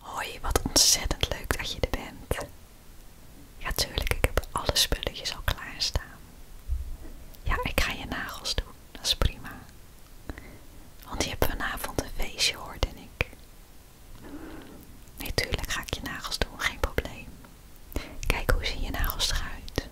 Hoi, wat ontzettend leuk dat je er bent. Ja, tuurlijk, ik heb alle spulletjes al klaarstaan. Ja, ik ga je nagels doen, dat is prima. Want je hebt vanavond een feestje, denk ik. Natuurlijk tuurlijk ga ik je nagels doen, geen probleem. Kijk, hoe zien je nagels eruit?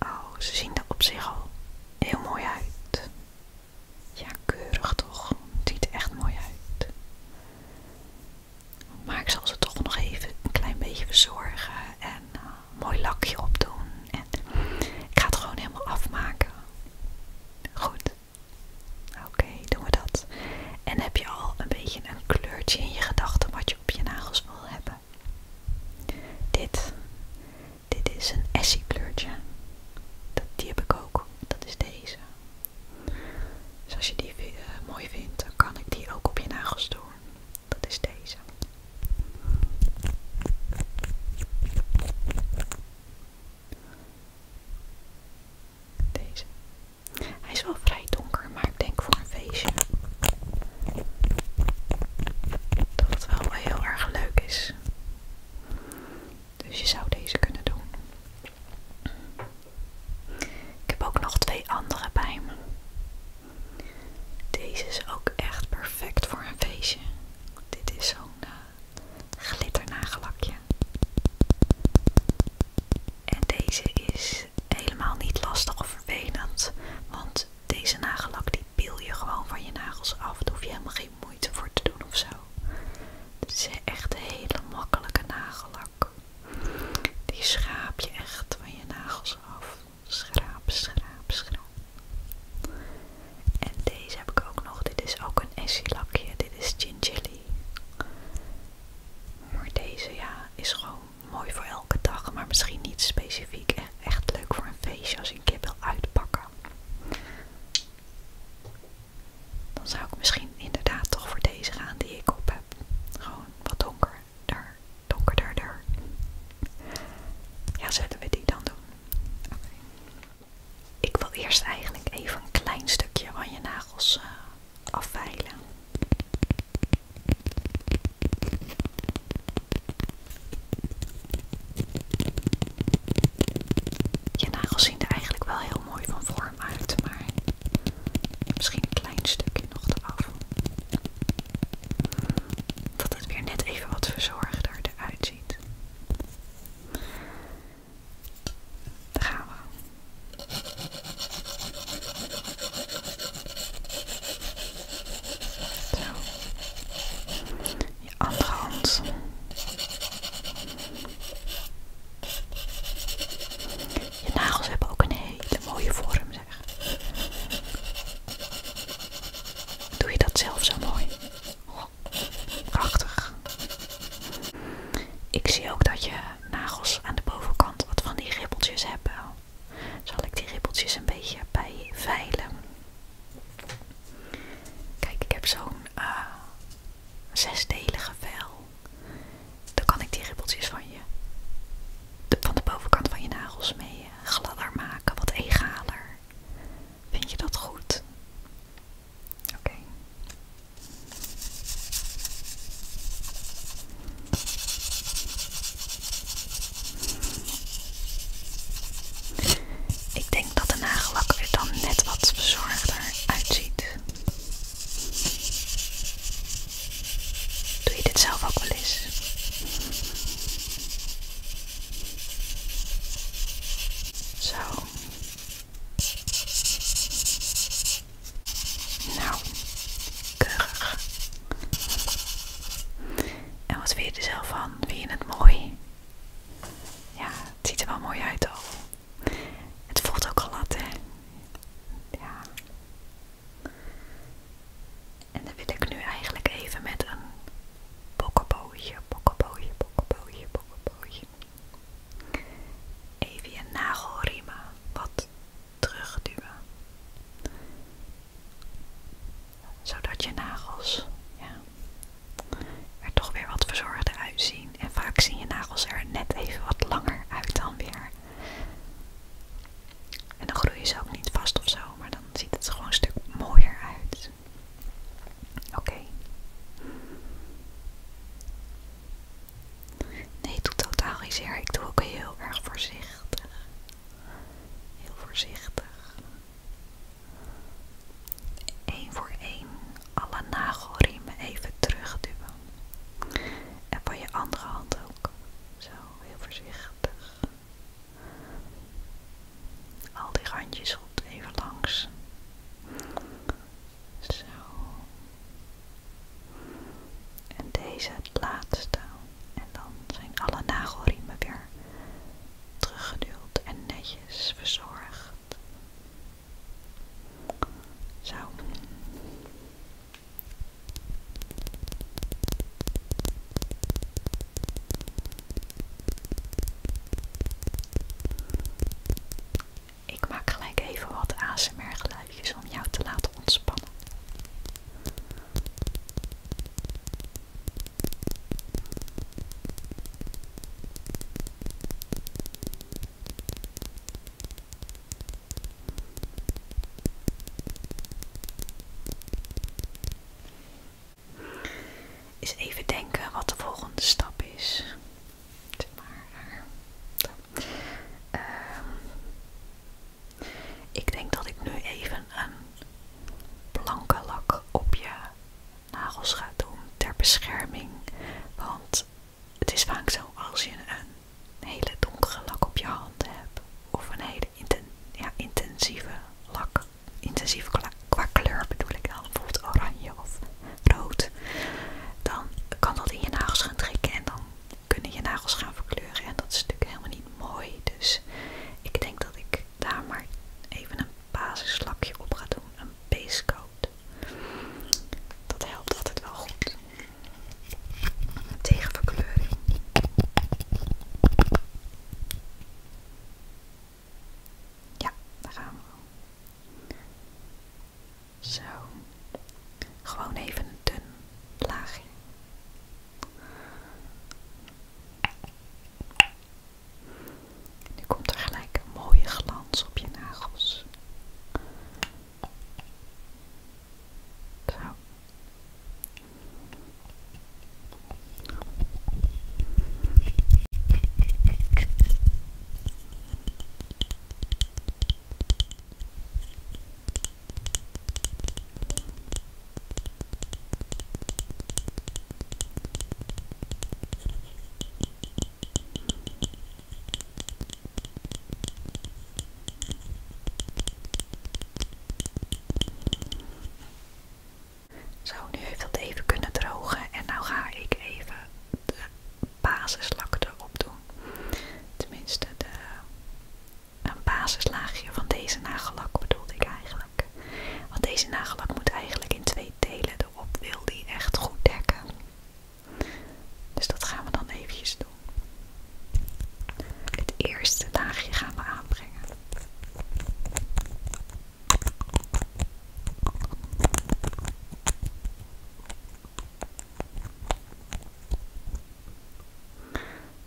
Oh, ze zien er op zich al heel mooi uit. Ja, keurig toch. Het ziet er echt mooi uit. Maar ik zal ze toch nog even een klein beetje verzorgen en eh, een mooi lakje opdoen. En ik ga het gewoon helemaal afmaken. Goed. Oké, doen we dat. En heb je al een beetje een kleurtje in je gedachten wat je op je nagels wil hebben? Dit dit is een essie kleurtje. die heb ik ook. Dat is deze. Dus als je die eh, mooi vindt, dan kan ik die ook op je nagels doen. Dat is deze. Deze. Hij is wel vrij donker, maar ik denk voor een feestje dat het wel heel erg leuk is. Dus je zou deze kunnen doen. Ik heb ook nog twee andere bij Deze is ook echt perfect voor een feestje. Dit is zo'n eh, glitter En deze is helemaal niet lastig of vervelend, want deze nagellak Piel je gewoon van je nagels af. Daar hoef je helemaal geen moeite voor te doen of zo. Het is echt een hele makkelijke nagellak. Die schraap je echt van je nagels af. Schraap, schraap, schraap. En deze heb ik ook nog. Dit is ook een essie lakje. Dit is Gingelly. Maar deze ja, is gewoon mooi voor elke dag. Maar misschien niet specifiek. E-, echt leuk voor een feestje als je een kip wil uitpakken. Dan zou ik misschien inderdaad toch voor deze gaan die ik op heb. Gewoon wat donkerder. Donkerder. Ja, zullen we die dan doen? Ik wil eerst eigenlijk even een klein stukje van je nagels eh, afveilen. Je nagels zien er eigenlijk wel heel mooi van vorm uit, maar misschien een klein stukje nog eraf. Dat het weer net even wat verzorgder eruit ziet. Daar gaan we. Zo andere hand. Je nagels hebben ook een hele mooie vorm, zeg. Doe je dat zelf zo mooi? prachtig. Ik zie ook dat je nagels aan de bovenkant wat van die ribbeltjes hebben. Zal ik die ribbeltjes een beetje bij veilen? Kijk, ik heb zo'n eh, zesdelige vel. Dan kan ik die ribbeltjes van je, van de bovenkant van je nagels mee eh, gladder maken, wat egaler. Vind je dat goed? Oké. Ik dat de nagelak er dan net wat verzorgder uitziet. Doe je dit zelf ook wel eens? Zo. Nou, keurig. En wat vind je er zelf van? Vind je het mooi? Ja, het ziet er wel mooi uit al. Het voelt ook glad, hè? Ja. En dan wil ik nu eigenlijk even met een bokkebootje, bokkebootje, bokkebootje, bokkebootje. Even je nagelriemen wat terugduwen. Zodat je nagels ja, er toch weer wat verzorgder uitzien. En vaak zien je nagels er net even wat langer uit dan weer. En dan groeien ze ook niet vast of zo, maar dan ziet het er gewoon een stuk mooier uit. Oké. Nee, ik doe totaal niet zeer. Ik doe ook heel erg voorzichtig. Heel voorzichtig. Eén voor één alle nagelriemen even terugduwen. En van je andere hand ook. Zo, heel voorzichtig. Al die randjes op even langs. Zo. En deze het laatste. En dan zijn alle nagelriemen weer teruggeduwd en netjes verzorgd. Zo. Ik maak gelijk even wat ASMR geluidjes om jou te laten ontspannen. Is even denken wat de volgende stap is. Ehm, ik denk dat ik nu even een blanke lak op je nagels gaat doen ter bescherming. Want het is vaak zo als je een hele donkere lak op je hand hebt. Of een hele intensieve lak. intensieve qua kleur bedoel ik dan. Bijvoorbeeld oranje of rood. Dan kan dat in je nagels gaan trekken. En dan kunnen je nagels gaan verkleuren. En dat is natuurlijk helemaal niet mooi. Dus ik denk dat ik daar maar even een basislakje op gaat doen, een base coat. Dat helpt altijd wel goed. Tegen verkleuring. Ja, daar gaan we. Zo. Gewoon even een dun laagje. Nu komt er gelijk een mooie glans op je nagels. Zo, nu heeft dat even kunnen drogen en nu ga ik even de basislak erop doen. Tenminste, de, een basislaagje van deze nagellak bedoelde ik eigenlijk. Want deze nagellak moet eigenlijk in twee delen erop wil die echt goed dekken. Dus dat gaan we dan eventjes doen. Het eerste laagje gaan we aanbrengen.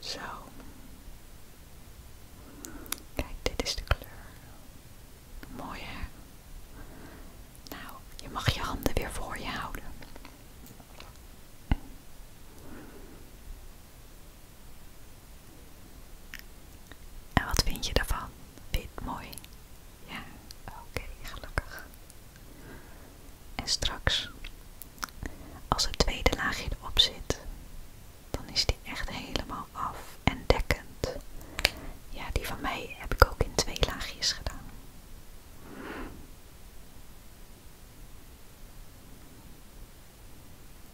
Zo. Kijk, dit is de kleur. Mooi hè? Nou, je mag je handen weer voor je houden. En wat vind je daarvan? Vind mooi? Ja, oké, gelukkig. En straks, als het tweede laagje erop zit, dan is die echt helemaal af en dekkend. Ja, die van mij heb ik ook in twee laagjes gedaan.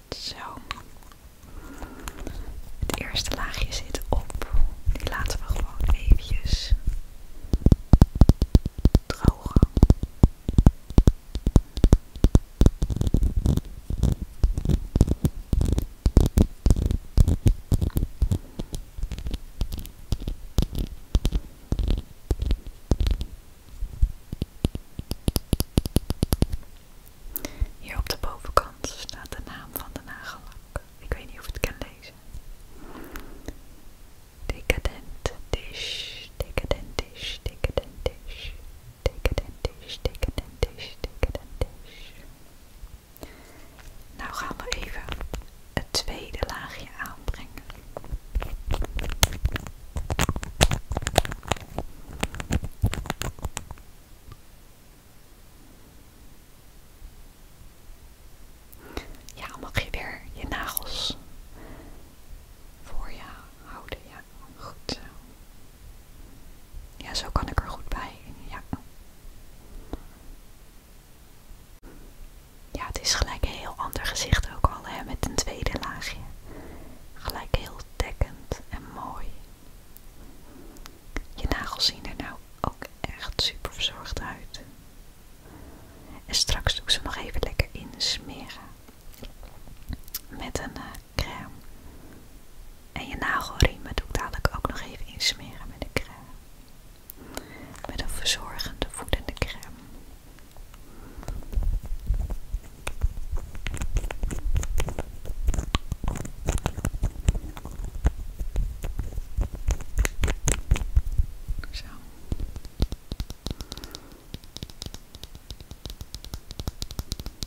Zo. Het eerste laagje zit op. Die laten we gewoon eventjes drogen. Hier op de bovenkant staat de naam van de nagellak. Ik weet niet of ik het kan lezen. Decadent dish, decadent dish, decadent dish, decadent dish, decadent dish, decadent dish. Nou gaan we even het tweede laagje aanbrengen. Ja, mag je weer je nagels voor je houden. Ja, goed ja, zo kan ik er goed bij. Ja. ja, het is gelijk een heel ander gezicht ook al, hè, met een tweede laagje. Gelijk heel dekkend en mooi. Je nagels zien er nou ook echt super verzorgd uit. En straks doe ik ze nog even lekker insmeren. Met een eh, crème. En je nagelriemen doe ik dadelijk ook nog even insmeren met de crème. Met een verzorgende voedende crème. Zo. Dit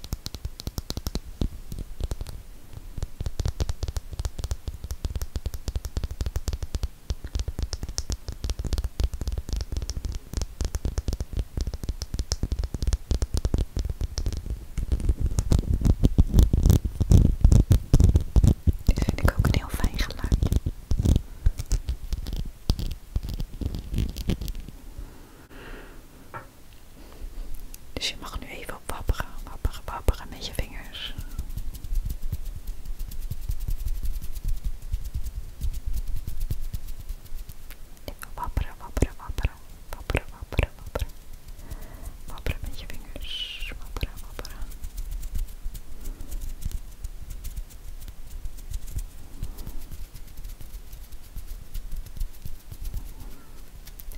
vind ik ook een heel fijn geluid. Dus je mag nu even op wapperen, wapperen, wapperen met je vingers. Even wapperen, wapperen, wapperen, wapperen, wapperen, wapperen. Wapperen met je vingers, wapperen, wapperen.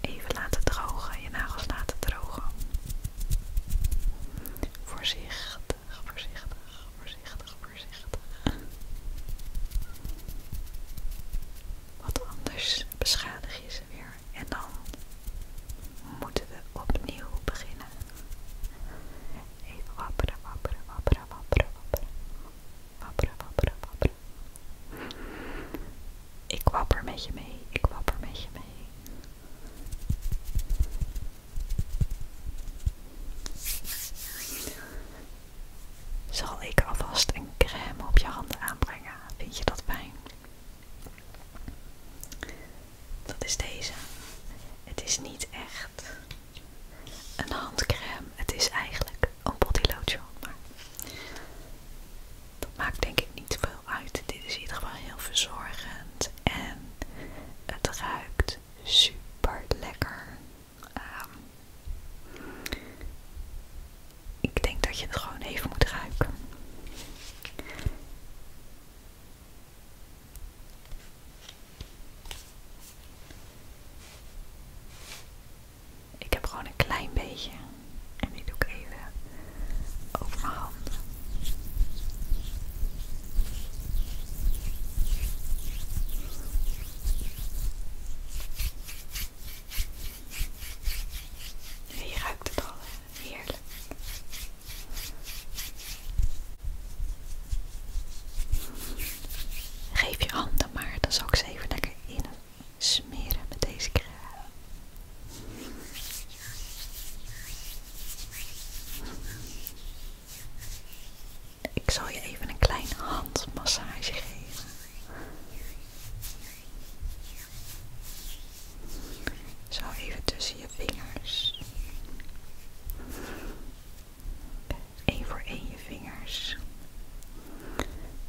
Even laten drogen, je nagels laten drogen. Voorzichtig, voorzichtig, voorzichtig, voorzichtig. Wat anders beschadig je ze weer en dan moeten we opnieuw beginnen. Even wapperen, wapperen, wapperen, wapperen, wapperen. Wapperen, wapperen, ik wapper met je mee, ik wapper met je mee. Zal ik alvast een crème op je handen aanbrengen? Vind je dat fijn? Dat is deze. Het is niet echt een handcrème. Het is eigenlijk een body dat maakt denk ik niet veel uit. Dit is in ieder geval heel verzorgend en het ruikt super lekker. Ehm, ik denk dat je het gewoon even moet ruiken. Ik heb gewoon een klein beetje. En die doe ik even over mijn handen. Je ruikt het al heerlijk. Geef je handen maar, dan zal ik ze even lekker in smeren met deze crème. Ik zal je even een klein handmassage geven. Zo even tussen je vingers. Eén voor één je vingers.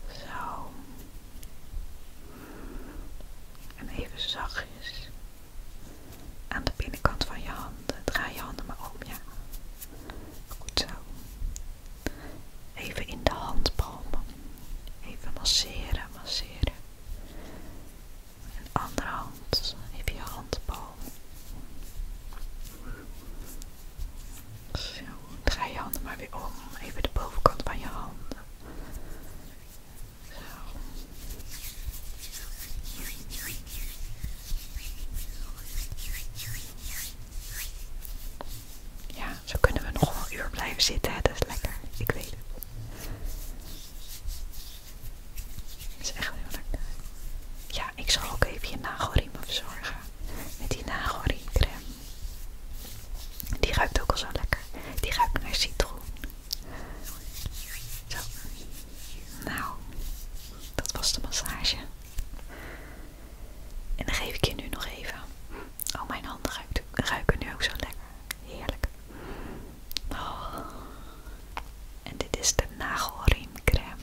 Zo. En even zachtjes aan de binnenkant van je handen. Draai je handen maar om, ja. Goed zo. Even in de handpalmen. Even masseren, masseren. En andere hand. Even je handpalm. Zo. Draai je handen maar weer om. Even de bovenkant van je handen. Ja, zo kunnen we nog een uur blijven zitten. Dat is lekker, ik weet het. Dat is echt heel lekker. Ja, ik zal ook even je nagelriem verzorgen. Met die nagelriemcreme. Die ruikt ook al zo lekker. Die ruikt naar citroen. Zo. Nou, dat was de massage. En dan geef ik je nu nog even. Oh, mijn handen ruiken, nu ook zo lekker. Heerlijk. Oh. En dit is de crème.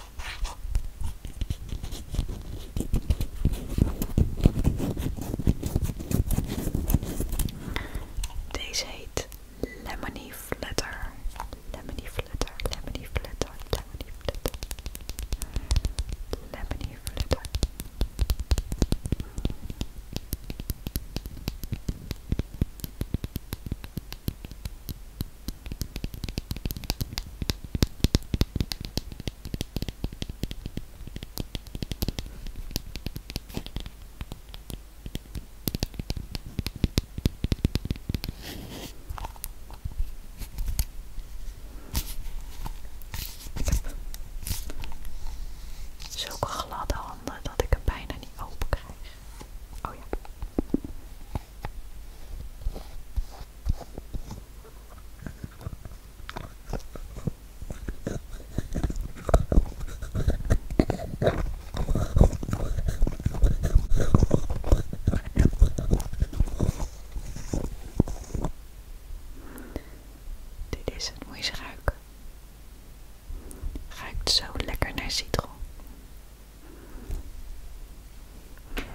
Deze heet Lemony Flutter. Lemony Flutter, Lemony Flutter, Lemony Flutter. Lemony Flutter. Zulke gladde handen dat ik er bijna niet open krijg. Oh ja. Dit is het, moet je Ruikt zo lekker naar citroen.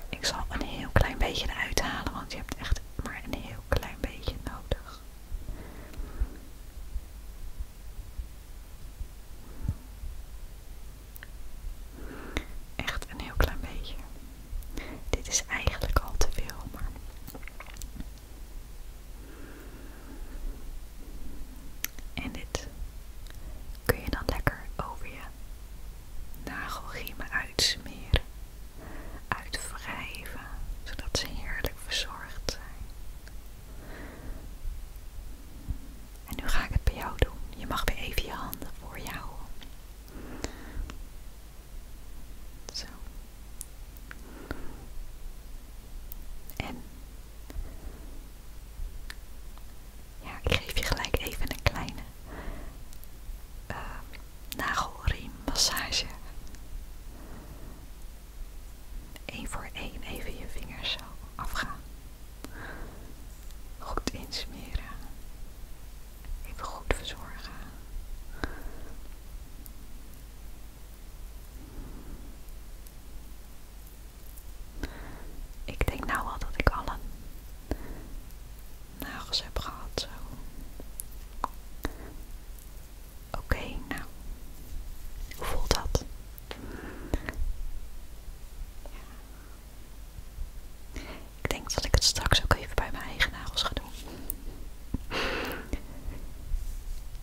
Ik zal een heel klein beetje eruit halen, want je hebt echt maar een heel klein beetje nodig. Echt een heel klein beetje. Dit is eigenlijk al te veel, maar. En dit kun je dan lekker over je nagelgiemen uitsmeren, uitwrijven, zodat ze heerlijk verzorgd zijn. En nu ga ik het bij jou doen. Je mag weer even je handen voor jou. Zo. En ja, ik geef je gelijk even een kleine eh, nagelriemmassage. Eén voor één even je vingers zo afgaan. Goed insmeren. Even goed verzorgen. Ik denk nou al dat ik alle nagels heb gehad. Zo. Oké, nou. Hoe voelt dat? Ja. Ik denk dat ik het straks ook even bij mijn eigen nagels ga doen.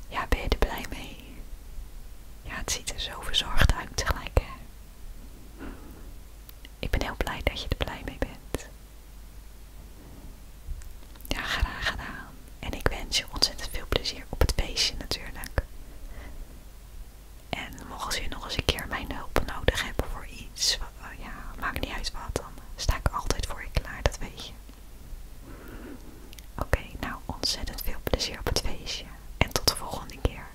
Ja, ben je er blij mee? Ja, het ziet er zo verzorgd uit tegelijk. Ik ben heel blij dat je er blij mee bent. Ja, graag gedaan. En ik wens je ontzettend veel plezier op het feestje natuurlijk. En mocht je nog eens een keer mijn hulp nodig hebben voor iets, ja, maakt niet uit wat, dan sta ik altijd voor je klaar, dat weet je. Oké, nou ontzettend veel plezier op het feestje en tot de volgende keer.